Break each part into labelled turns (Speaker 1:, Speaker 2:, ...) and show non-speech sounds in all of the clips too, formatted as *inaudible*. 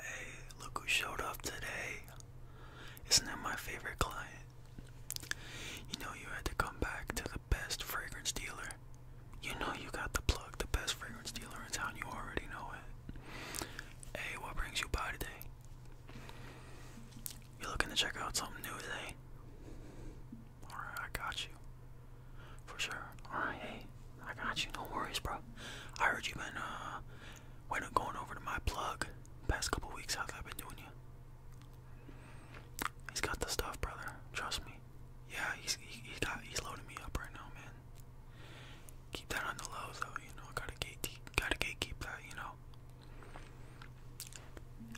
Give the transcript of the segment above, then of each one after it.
Speaker 1: Hey, look who showed up today. Isn't that my favorite client? You know you had to come back to the best fragrance dealer. You know you got the plug, the best fragrance dealer in town, you already know it. Hey, what brings you by today? You looking to check out something new today? Alright, I got you. For sure. Alright, hey, I got you. No worries, bro. I heard you been uh, when going over to my plug past couple weeks. How's that been doing you? He's got the stuff, brother. Trust me. Yeah, he's he, has got he's loading me up right now, man. Keep that on the low, though. You know, I gotta gate gotta gatekeep that. You know.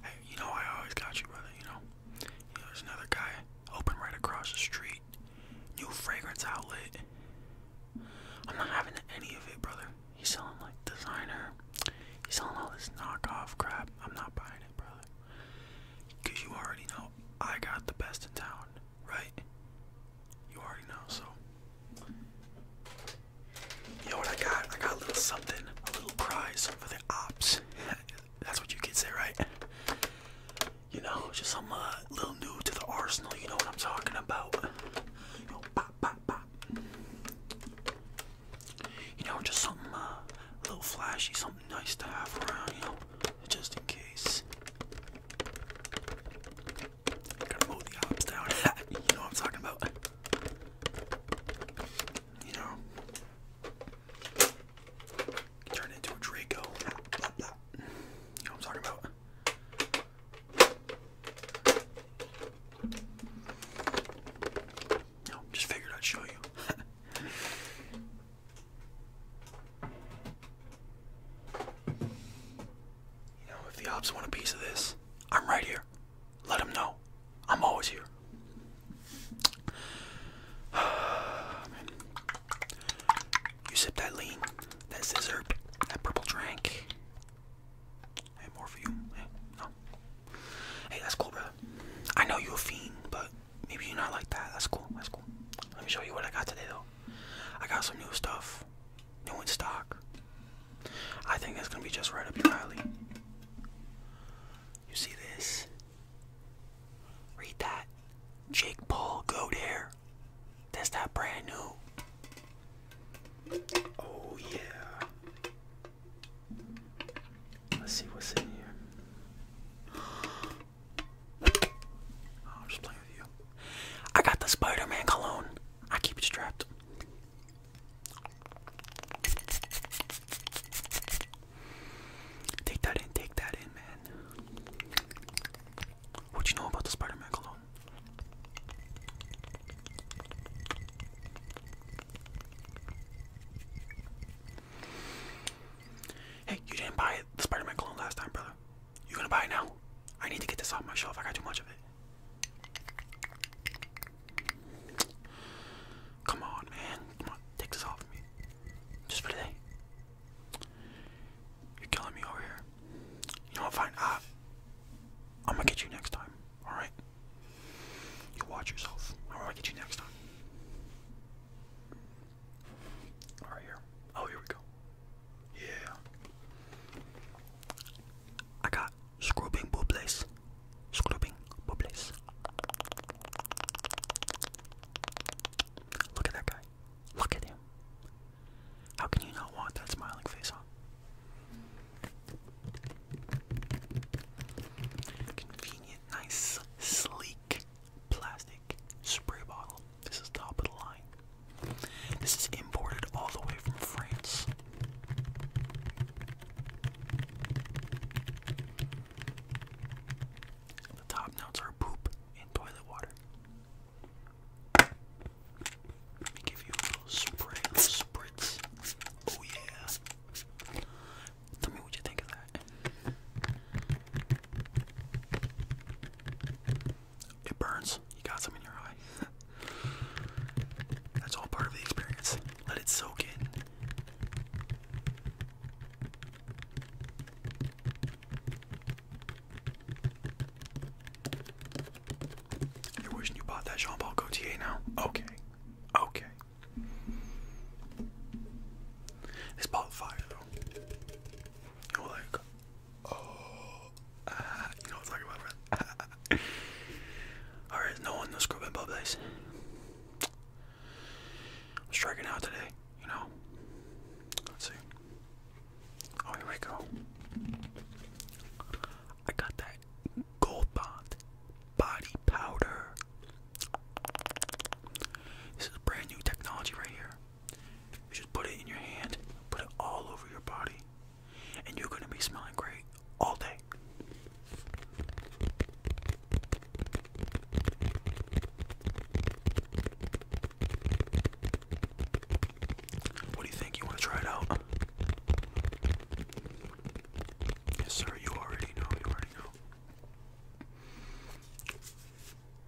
Speaker 1: Hey, you know I always got you, brother. You know. You know, there's another guy open right across the street. New fragrance outlet. I'm not having any of it, brother. He's selling like designer. He's selling all this knockoff crap. I'm not buying it, brother. Cause you already know I got the best in town, right? You already know, so. You know what I got? I got a little something, a little prize for the ops. *laughs* That's what you kids say, right? You know, just I'm uh, a little new to the arsenal. You know what I'm talking about. You know, pop, pop, pop. You know, just something uh, little flashy, something nice to have around. You know, just in case. Gotta mow the ops down. *laughs* you know what I'm talking about. You know. Turn into a Draco. Blah, blah, You know I'm talking about? No, just figured I'd show you. *laughs* You know, if the ops want a piece of this, I'm right here. Let them know. I'm always here. *sighs* You sip that lean, that scissor, that purple drink. Hey, more for you. Hey, that's cool, bro. I know you're a fiend, but maybe you're not like that. That's cool. That's cool. Let me show you what I got today, though. I got some new stuff, new in stock. I think it's gonna be just right up your alley. You see this? Read that. Jake Paul goat hair. That's not brand new. Oh yeah. Let's see what's in here. *gasps* I'm just playing with you. I got the Spider-Man cologne. I keep it strapped. Take that in, take that in, man. What do you know about the Spider-Man clone? Hey, you didn't buy the Spider-Man cologne last time, brother. You gonna buy it now? I need to get this off my shelf. I got too much of it. Come on, man. Come on, take this off me. Just for today. You're killing me over here. You know what? Fine. Uh, ah, I'm gonna get you next time. All right. You watch yourself. I'm gonna get you next time. All right, here. Oh, here we go. Yeah. I got scrubbing bubles. Scrubbing bubles. Look at that guy. Look at him. How can you not want that smiling face on? Convenient, nice, sleek plastic spray bottle. This is top of the line. This is imported all the way from France. The top notes are poop, in toilet water. Let me give you a little spray, a spritz. Oh yeah. Tell me what you think of that. It burns. You got some in your eye. *laughs* That's all part of the experience. Let it soak in. You're wishing you bought that Jean Paul Gaultier now? Okay. Okay. This ball fire though. You're like, oh, you know what I'm talking about, Alright, *laughs* no one, no scrubbing bubbles. I'm striking out today you know, let's see. Oh, here we go. I got that Gold Bond body powder. This is brand new technology right here. You just put it in your hand, put it all over your body, and you're gonna be smelling great all day. What do you think? You want to try it out? Yes, sir. You already know. You already know.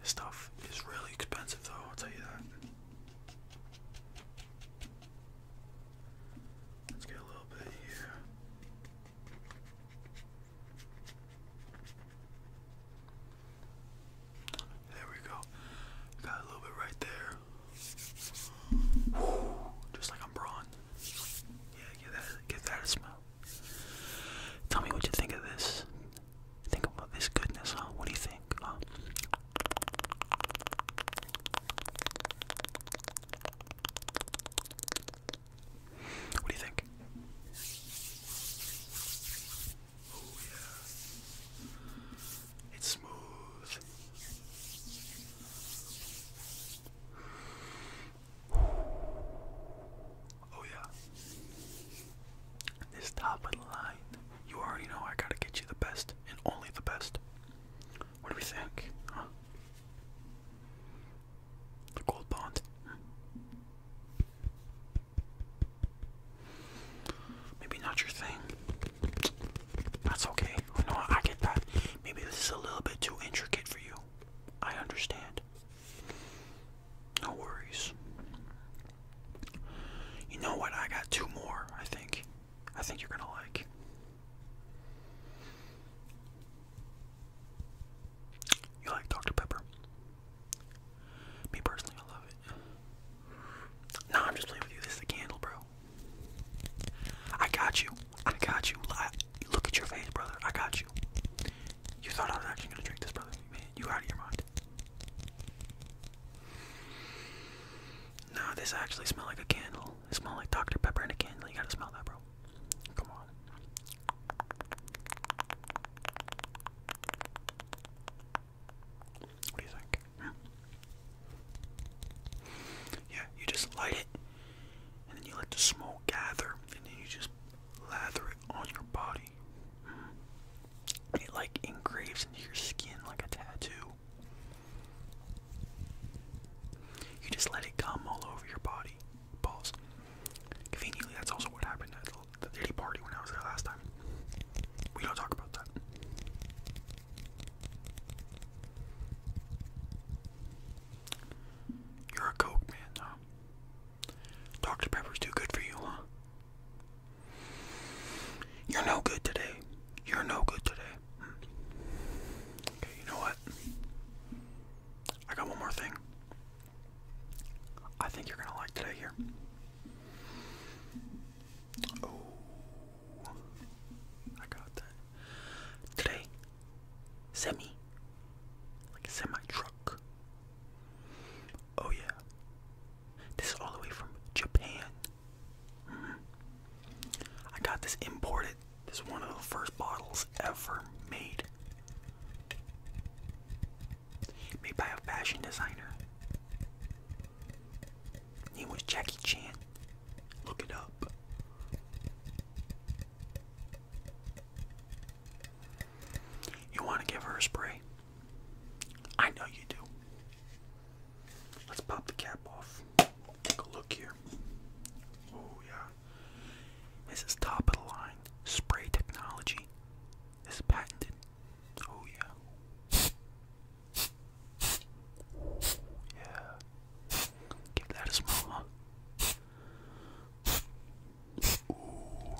Speaker 1: This stuff is really expensive, though. I'll tell you that. Let's get a little bit here. There we go. Got a little bit right there. just like I'm brawn. Yeah, get that, get that smell. Tell me what you think of this. Think about this goodness, huh? What do you think? What do you think? Oh yeah. It's smooth. Oh yeah. This top of the line. You already know I gotta get you the best and only the best. What do we think? The gold bond. Maybe not your thing. That's okay. You I get that. Maybe this is a little bit too intricate for you. I understand. No worries. You know what? I got two more, I think. I think you're gonna like. You like Dr. Pepper? Me personally, I love it. Nah, I'm just playing with you. This is a candle, bro. I got you. I got you. look at your face, brother. I got you. You thought I was actually gonna drink this, brother. Man, you out of your mind. No, this actually smells like a candle. It smells like Dr. Pepper and a candle. You gotta smell that, bro. Come on. What do you think? Yeah, you just light it, and then you let the smoke gather, and then you just lather it on your body. It like engraves into your skin like a tattoo. You just let it come all over your body. Pause. Conveniently, that's also what happened at the Diddy party when I was there last time. We don't talk about that. You're a coke man, huh? Dr. Pepper's too good for you, huh? You're no good today. You're no good today. Hmm. Okay, you know what? I got one more thing. I think you're gonna like today here. Oh, I got that. Today, semi, like a semi truck. Oh yeah, this is all the way from Japan. Mm-hmm. I got this imported this is one of the first bottles ever made. Made by a fashion designer. name was Jackie Chan. Look it up. You want to give her a spray? I know you do. Let's pop the cap off. Take a look here. Oh, yeah. This is top of the line spray technology. This patented. Oh yeah. Yeah. Give that a smell. Ooh.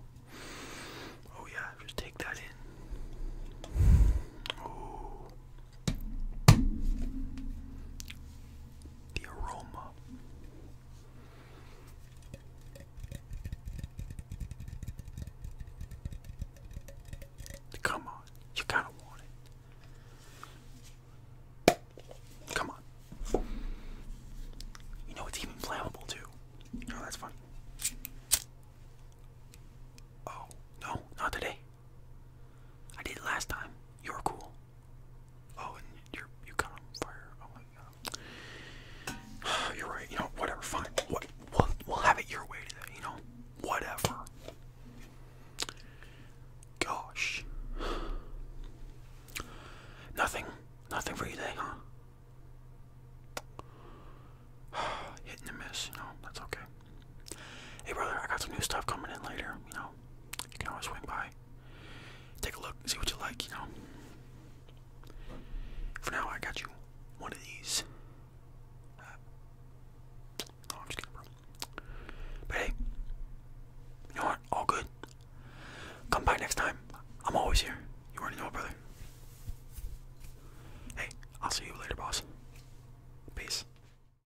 Speaker 1: Oh yeah, just take that in. Ooh. The aroma. Come on, you kind of want it. Come on. You know it's even flammable too. You that's funny. Oh, no, not today. I did last time. You're cool. Oh, and you're you got fire. Oh my god. *sighs* You're right. You know, whatever. Fine. What? We'll we'll have it your way today. You know, whatever. Gosh. Nothing. Nothing for you today, huh? *sighs* Hit and a miss. No, that's okay. Hey brother, I got some new stuff coming in later, you know. You can always swing by. Take a look, see what you like, you know. For now, I got you one of these. Uh, no, I'm just kidding, bro. But hey, you know what? All good. Come by next time. I'm always here. You already know, brother. Hey, I'll see you later, boss. Peace.